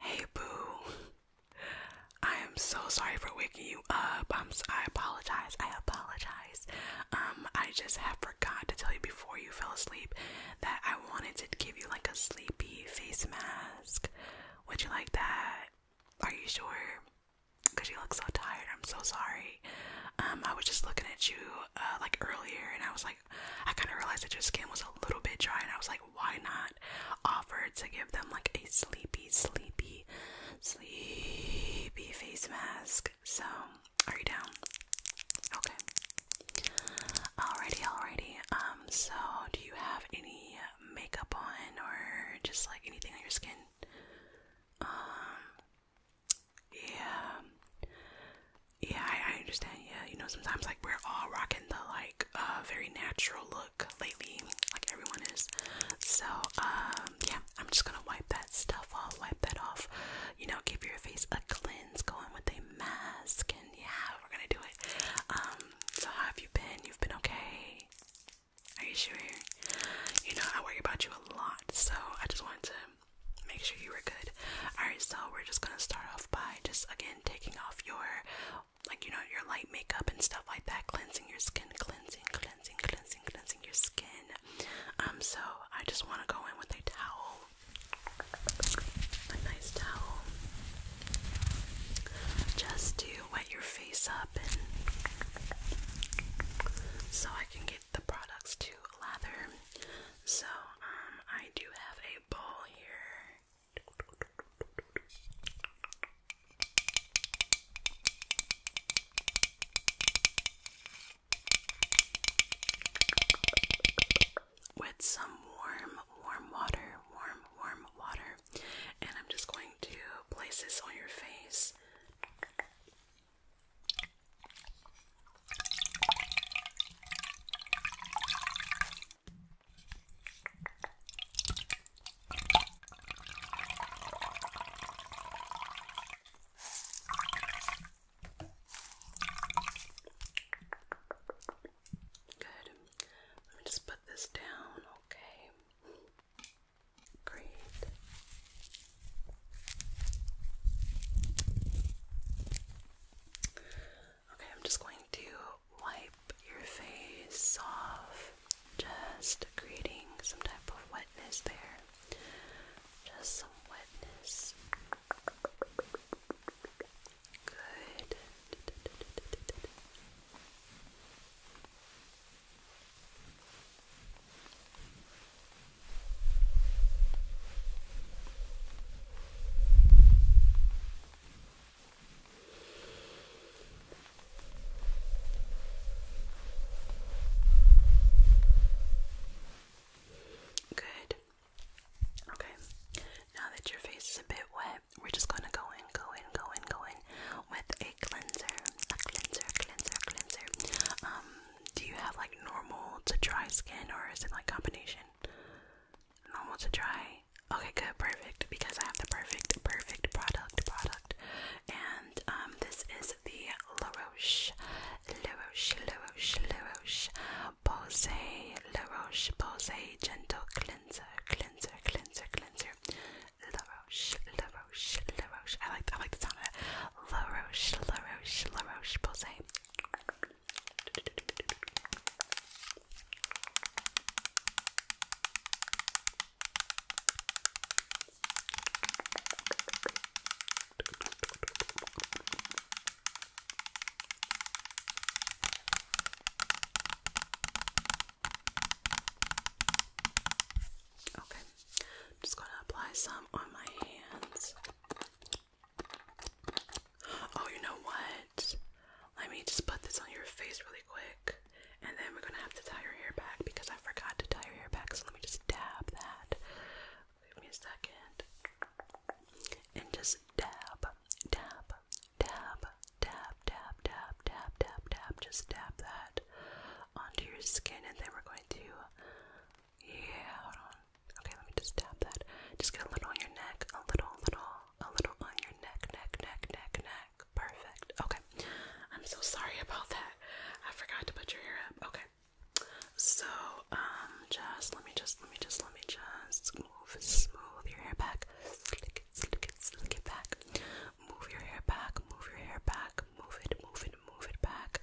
Hey boo. I am so sorry for waking you up. i I apologize. I apologize. Um I just have forgot to tell you before you fell asleep that I wanted to give you like a sleepy face mask. Would you like that? Are you sure? Because you look so tired. I'm so sorry. Um, I was just looking at you uh, like earlier, and I was like, I kind of realized that your skin was a little bit dry, and I was like, why not offer to give them like a sleepy, sleepy, sleepy face mask? So, are you down? Okay. Alrighty, alrighty. Um, so do you have any makeup on or just like anything on your skin. Um, yeah, yeah, I, understand. Yeah, you know, sometimes like we're all rocking the like uh very natural look lately, like everyone is. So um, yeah, I'm just gonna wipe that stuff off, wipe that off. You know, give your face a cleanse, go in with a mask, and yeah, we're gonna do it. Um, so how have you been? You've been okay. Are you sure? You know, I worry about you a lot, so I just wanted to make sure you were good. Alright, so we're just gonna start off by just again taking off your like you know your light makeup and stuff like that, cleansing your skin, cleansing, cleansing, cleansing, cleansing your skin. Um, so I just wanna go in with a towel. A nice towel. Just to wet your face up so I can get the products to lather. So um, I do have a bowl here. With some warm, warm water, warm, warm water and I'm just going to place this on your face. Good. Let me just put this down, okay? Great. Okay, I'm just going to wipe your face off, just creating some type of wetness there. Just some wetness. Good. Good. Okay. Now that your face is a bit wet, but we're just gonna go in, go in, go in, go in with a cleanser, a cleanser, cleanser, cleanser. Um, do you have like normal to dry skin or is it like combination? Normal to dry. Okay, good, perfect. Because I have the perfect, perfect product, product. And um, this is the La Roche, La Roche, La Roche, La Roche, Posay, La Roche, Posay Gentle Cleanser, Cleanser cleanser, cleanser, cleanser. La Roche, La I like, I like the sound of it. La Roche, La Roche, Okay, I'm just gonna apply some on my hands. Oh, you know what? Let me just put this on your face really quick, and then we're gonna have to tie your hair back because I forgot to tie your hair back. So let me just dab that. Give me a second, and just dab, dab, Dab, dab, dab, dab, dab, dab, dab. Just dab that onto your skin, and then we're going to. Yeah, hold on. Okay, let me just dab that. Just get a little on your neck, a little, little, a little on your neck, neck, neck, neck, neck. Perfect. Okay. I'm so sorry about that. I forgot to put your hair up. Okay. So, um, just let me just, let me just, let me just Smooth, smooth your hair back. Slick it, slick it, slick it back. Move your hair back, move your hair back. Move it, move it, move it back.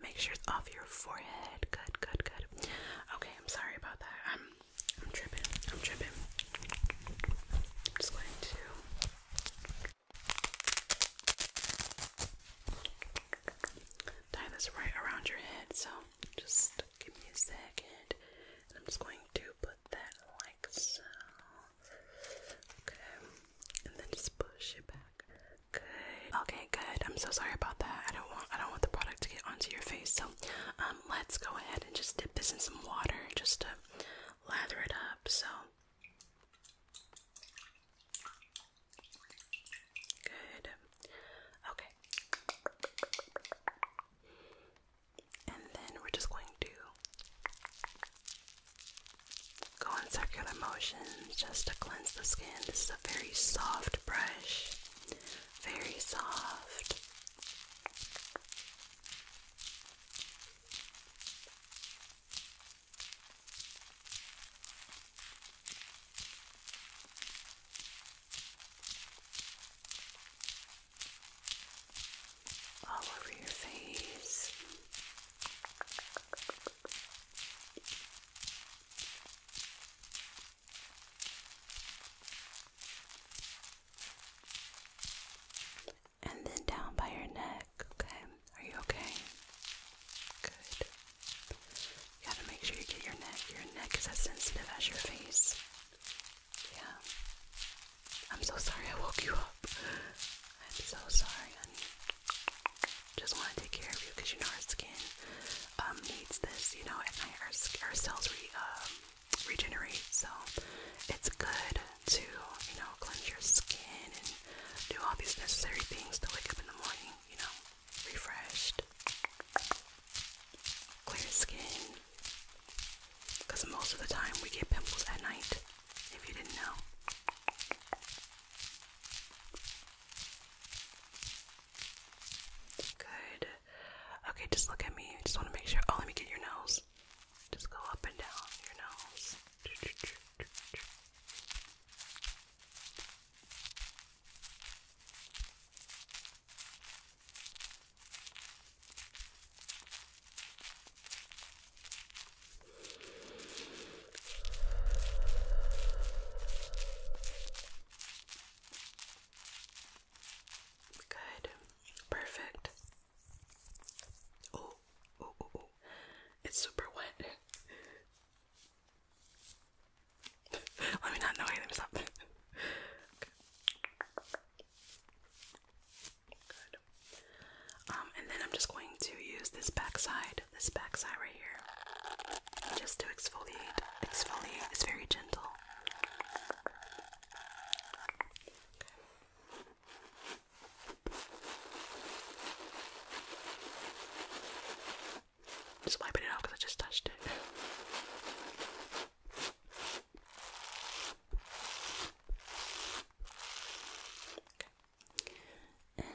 Make sure it's off your forehead. Good, good, good. Okay, I'm sorry about that. I'm, I'm tripping. I'm tripping. I'm just going to. Tie this right around your head, so just give me a second. I'm just going to put that like so. Okay. And then just push it back. Good. Okay, good. I'm so sorry about that. I don't want I don't want the product to get onto your face. So um let's go ahead and just dip this in some water just to lather it up. So Good. Okay. And then we're just going to go in circular motions just to cleanse the skin. This is a very soft brush, very soft all over your face. And then down by your neck, okay? Are you okay? Good. gotta make sure you get your neck. Your neck is as sensitive as your face. Yeah. I'm so sorry I woke you up. I'm so sorry. I just want to take care of you because you know our skin um, needs this. You know, at our, our cells re, um, regenerate, so it's good to, you know, cleanse your skin and do all these necessary things to wake up in the morning, you know, refreshed clear skin. Because most of the time we get pimples at night, if you didn't know. Good. Okay, just look at me. I just want to make sure. Oh, let me get your nose. Just go up and down your nose. Good. Perfect. Oh, oh, oh, It's super wet. Let me not know anything. Um, and then I'm just going to use this backside, this backside right here, just to exfoliate. Exfoliate is very gentle. Just wiping it off because I just touched it. Okay. And Okay.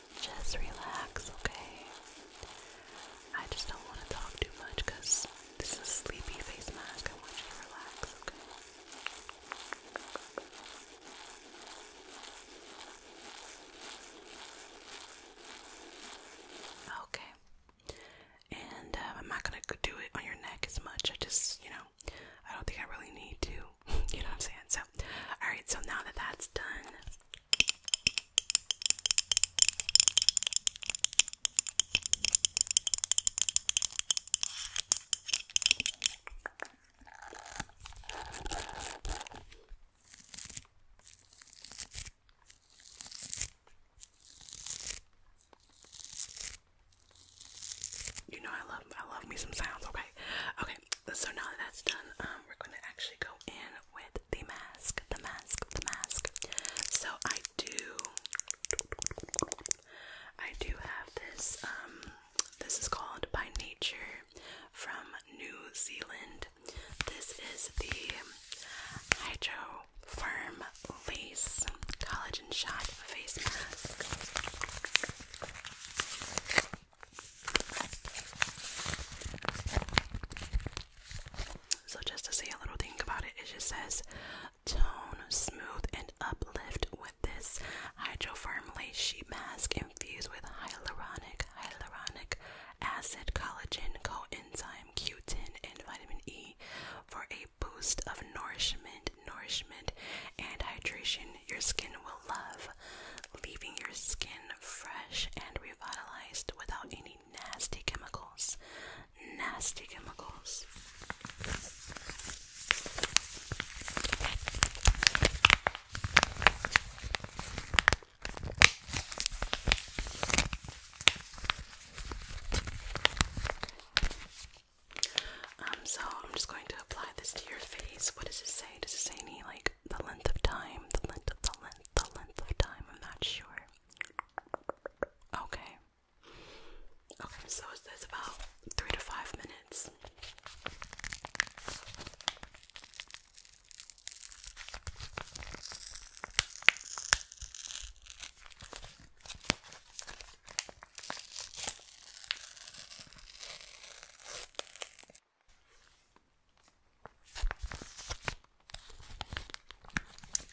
Just relax, okay? I just don't want to talk too much because this is a sleepy face mask. I want you to relax, okay? Okay. And um, I'm not gonna do it on your neck as much. I just, you know, I don't think I really need to. you know what I'm saying? So, alright, so now that that's done, you know I love I love me some sounds, okay? Okay so now that's done, um, we're going to actually go in with the mask, the mask, the mask. So I do, I do have this. Um, this is called By Nature from New Zealand. This is the Hydro Firm Lace Collagen Shot Face Mask. So, just to say a little thing about it, it just says tone, smooth, and uplift with this hydrofarm sheet mask infused with hyaluronic, hyaluronic acid, collagen, coenzyme, Q10, and vitamin E for a boost of nourishment, nourishment, and hydration your skin will love, leaving your skin fresh and revitalized without any nasty chemicals. Nasty chemicals. Um, so I'm just going to apply this to your face. What does it say? Does it say any like the length of time, the length of the length, the length of time, I'm not sure. Okay. Okay, so is about three to five minutes?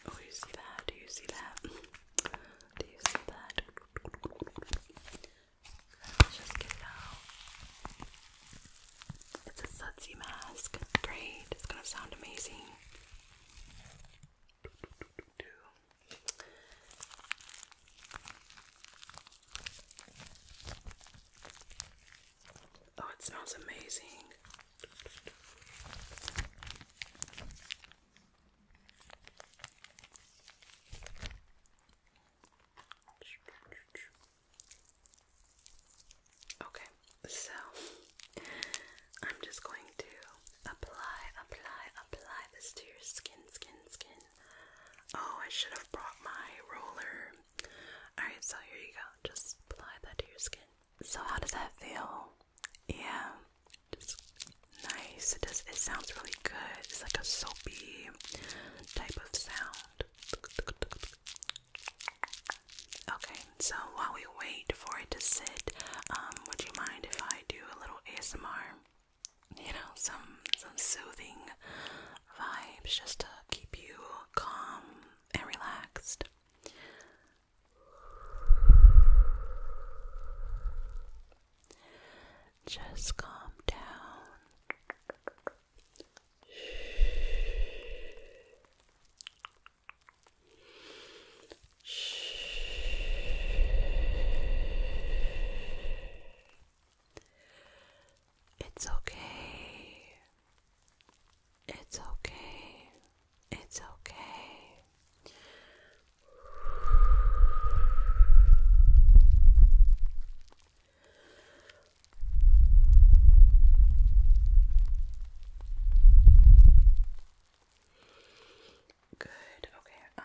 Oh, you see that? Do you see that? Do you see that? Let's just get out. It's a sudsy mask. Great. It's gonna sound amazing. Oh, it smells amazing. Okay, so I'm just going to apply, apply, apply this to your skin, skin, skin. Oh, I should have brought my roller. Alright, so here you go. Just apply that to your skin. So, how does that feel? Yeah, just nice. It does. It sounds really good. It's like a soapy type of sound. Okay, so while we wait for it to sit, um, would you mind if I do a little ASMR? you know, some some soothing vibes just to keep you calm and relaxed. Just calm down. It's okay. It's okay. It's okay. Good. Okay. Um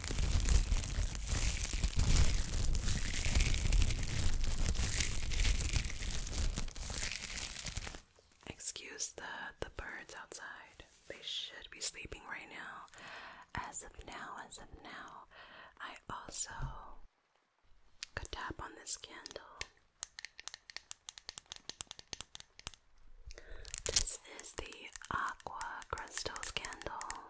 Excuse the the birds outside. They should be sleeping right now. As of now, as of now, I also could tap on this candle. This is the Aqua Crystals candle.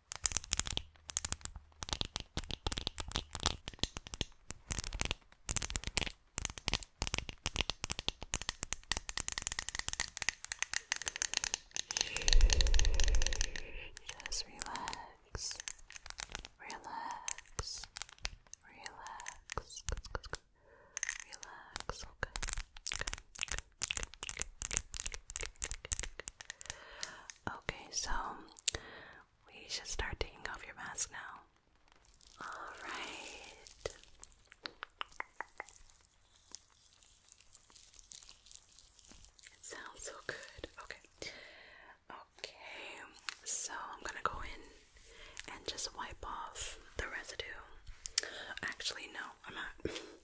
Just relax, relax, relax, relax. Okay. Okay. Okay. Okay. Okay. Okay. Okay. Okay, so we should start taking off your mask now. Alright. It sounds so good. Okay. Okay, so I'm gonna go in and just wipe off the residue. Actually, no, I'm not.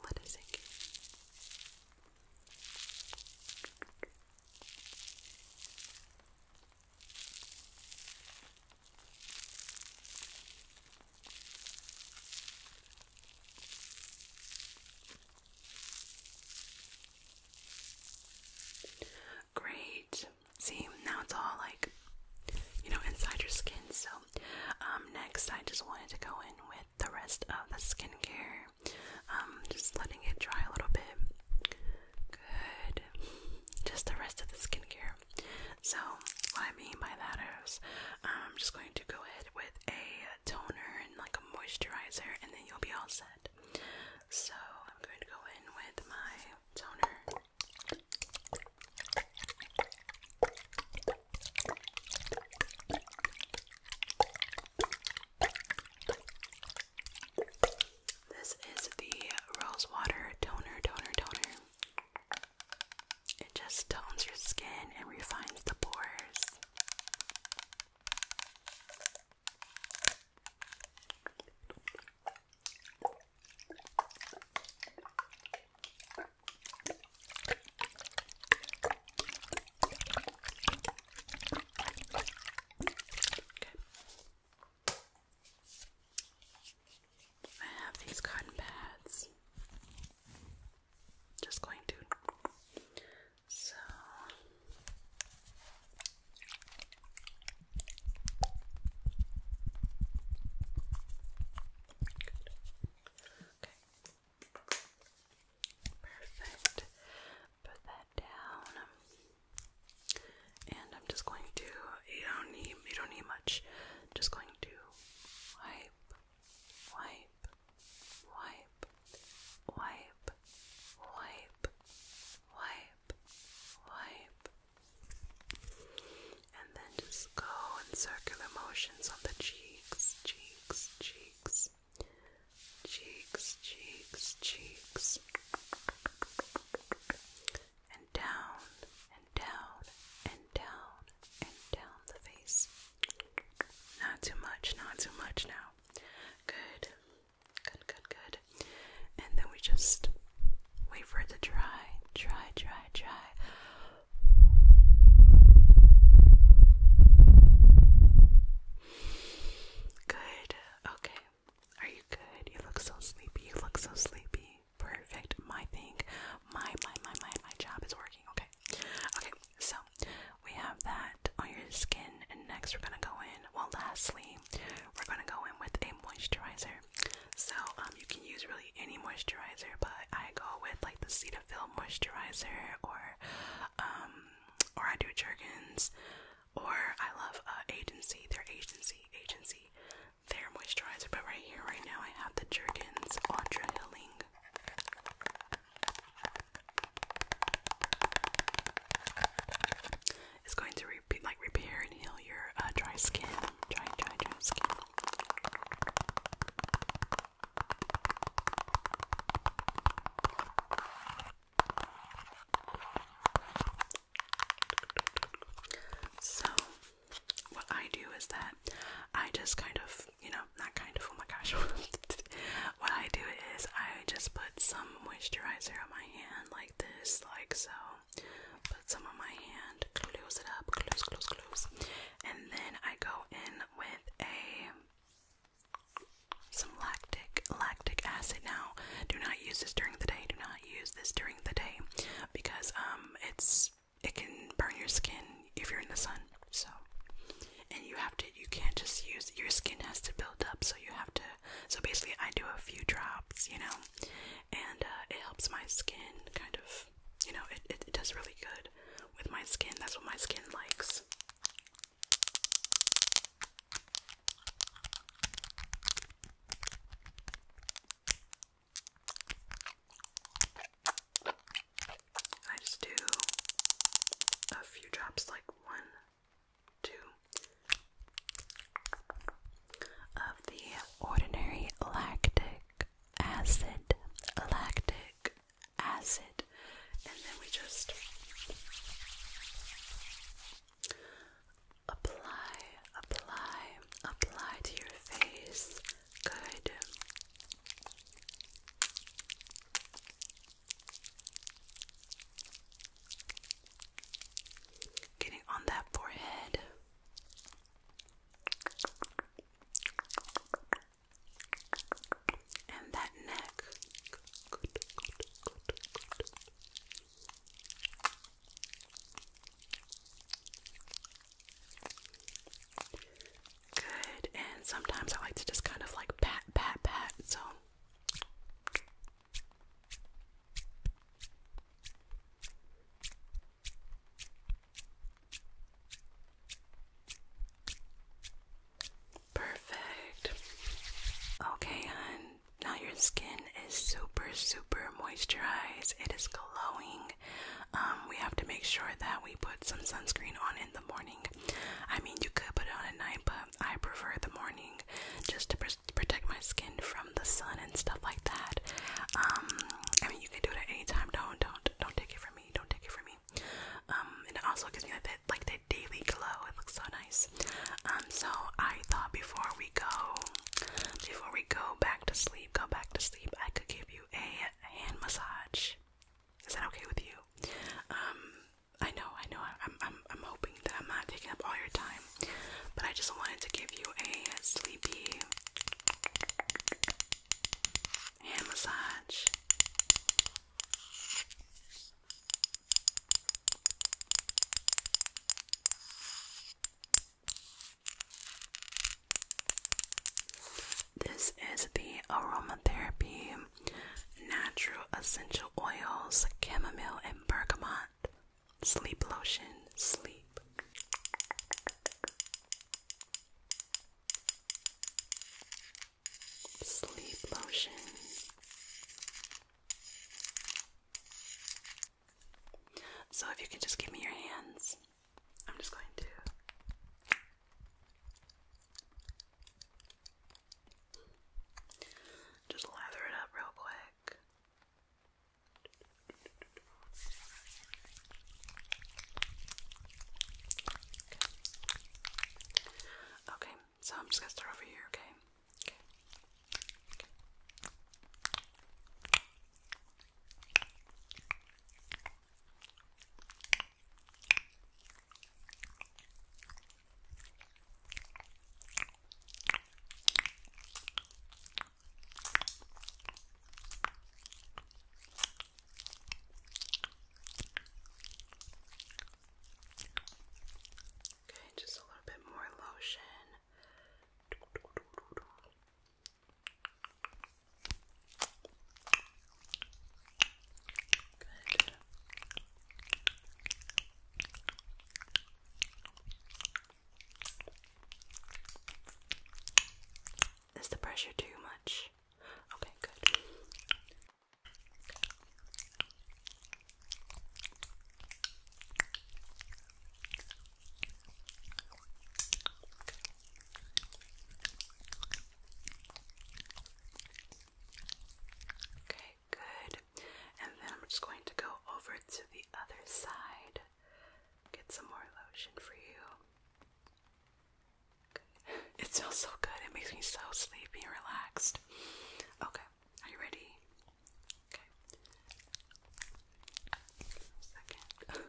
What is it? Great. See, now it's all like, you know, inside your skin, so um, next I just wanted to go in with the rest of the skincare. Um, just letting it dry a little bit. Good. Just the rest of the skincare. So what I mean by that is I'm just going to go ahead with a toner and like a moisturizer and then you'll be all set. So I'm going to go in with my toner. This is the Rose Water Toner Toner Toner. It just tones your skin and refines the pores. I have these cotton pads. Just going to so Okay. Perfect. Put that down. And I'm just going to you don't need you don't need much. just going to wipe, wipe, wipe, wipe, wipe, wipe, wipe and then just go in circular motions on the cheeks, cheeks, cheeks, cheeks, cheeks, cheeks, and down, and down, and down, and down the face. Not too much, not too much now. Good, good, good, good. And then we just wait for it to dry, dry, dry, dry. Good. Okay. Are you good? You look so sleepy. You look so sleepy. Perfect. My thing, my my my my my job is working. Okay. Okay. So we have that on your skin, and next we're gonna go in. Well, lastly, we're gonna go in with a moisturizer. So um, you can use really any moisturizer, but I go with like the Cetaphil moisturizer, or um, or I do Jergens, or I love uh, Agency, their Agency, Agency, their moisturizer. But right here, right now, I have the Jergens Ultra Healing. It's going to like repair and heal your uh, dry skin. Try, try, try So, what I do is that I just kind of, you know, not kind of, oh my gosh. what I do is I just put some moisturizer on my hand like this, like so put some on my hand, close it up, close, close, close, and then I go in with a some lactic lactic acid. Now, do not use this during the day. Do not use this during the day because um it's it can burn your skin if you're in the sun. So, and you have to you can't just use your skin has to build up. So you have to. So basically, I do a few drops, you know, and uh, it helps my skin kind of you know, it, it, it does really good with my skin. That's what my skin likes. I just do a few drops, like one, two, of the Ordinary Lactic acid, lactic acid, and then we just apply, apply, apply to your face. Good. Getting on that forehead and that neck. Good, and sometimes I like to just kind of like pat, pat, pat, so. Perfect. Okay, hun. Now your skin is super, super moisturized. It is glowing. Um, we have to make sure that we put some sunscreen on in the morning. I mean, you could put it on at night, but I prefer the morning just to protect my skin from the sun and stuff like that. Um, I mean, you can do it at any time. Don't, don't, don't take it from me. Don't take it from me. Um, and it also gives me like that, like that daily glow. It looks so nice. Um, so I thought before we go, before we go back to sleep, go back to sleep, I could give you a hand massage. Is that okay with you? Um, I know, I know. I'm, I'm, I'm hoping that I'm not taking up all your time, but I just wanted to give you a sleepy. Hand massage. This is the aromatherapy natural essential oils chamomile and bergamot Sleep lotion, sleep. Sleep lotion. So, if you could just give me your hands, I'm just going to. Just lather it up real quick. Okay, so I'm just gonna start over here, okay? Okay. Okay, just a little bit more lotion. Good. Is the pressure too much? Okay, good. Okay, good. And then I'm just going to go over to the other side get some more lotion for you. It smells so good. It makes me so sleepy and relaxed. Okay, are you ready? Okay.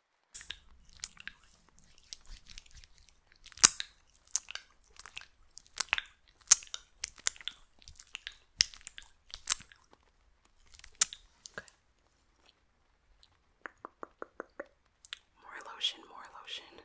Okay. More lotion, more lotion.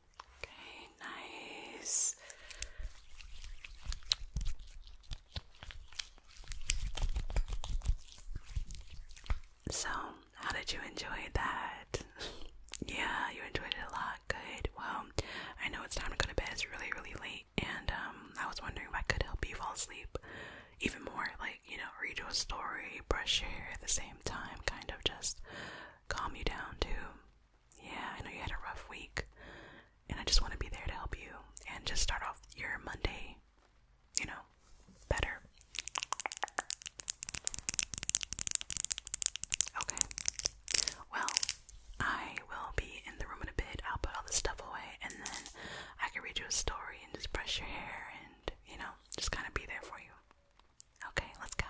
Okay, nice. So, how did you enjoy that? yeah, you enjoyed it a lot. Good. Well, I know it's time to go to bed. It's really, really late, and um, I was wondering if I could help you fall asleep even more. Like, you know, read you a story, brush your hair at the same time, kind of just calm you down too. Yeah, I know you had a rough week, and I just want to be there to help you and just start off your Monday, you know, better. Okay. Well, I will be in the room in a bit. I'll put all this stuff away, and then I can read you a story and just brush your hair and, you know, just kind of be there for you. Okay, let's go.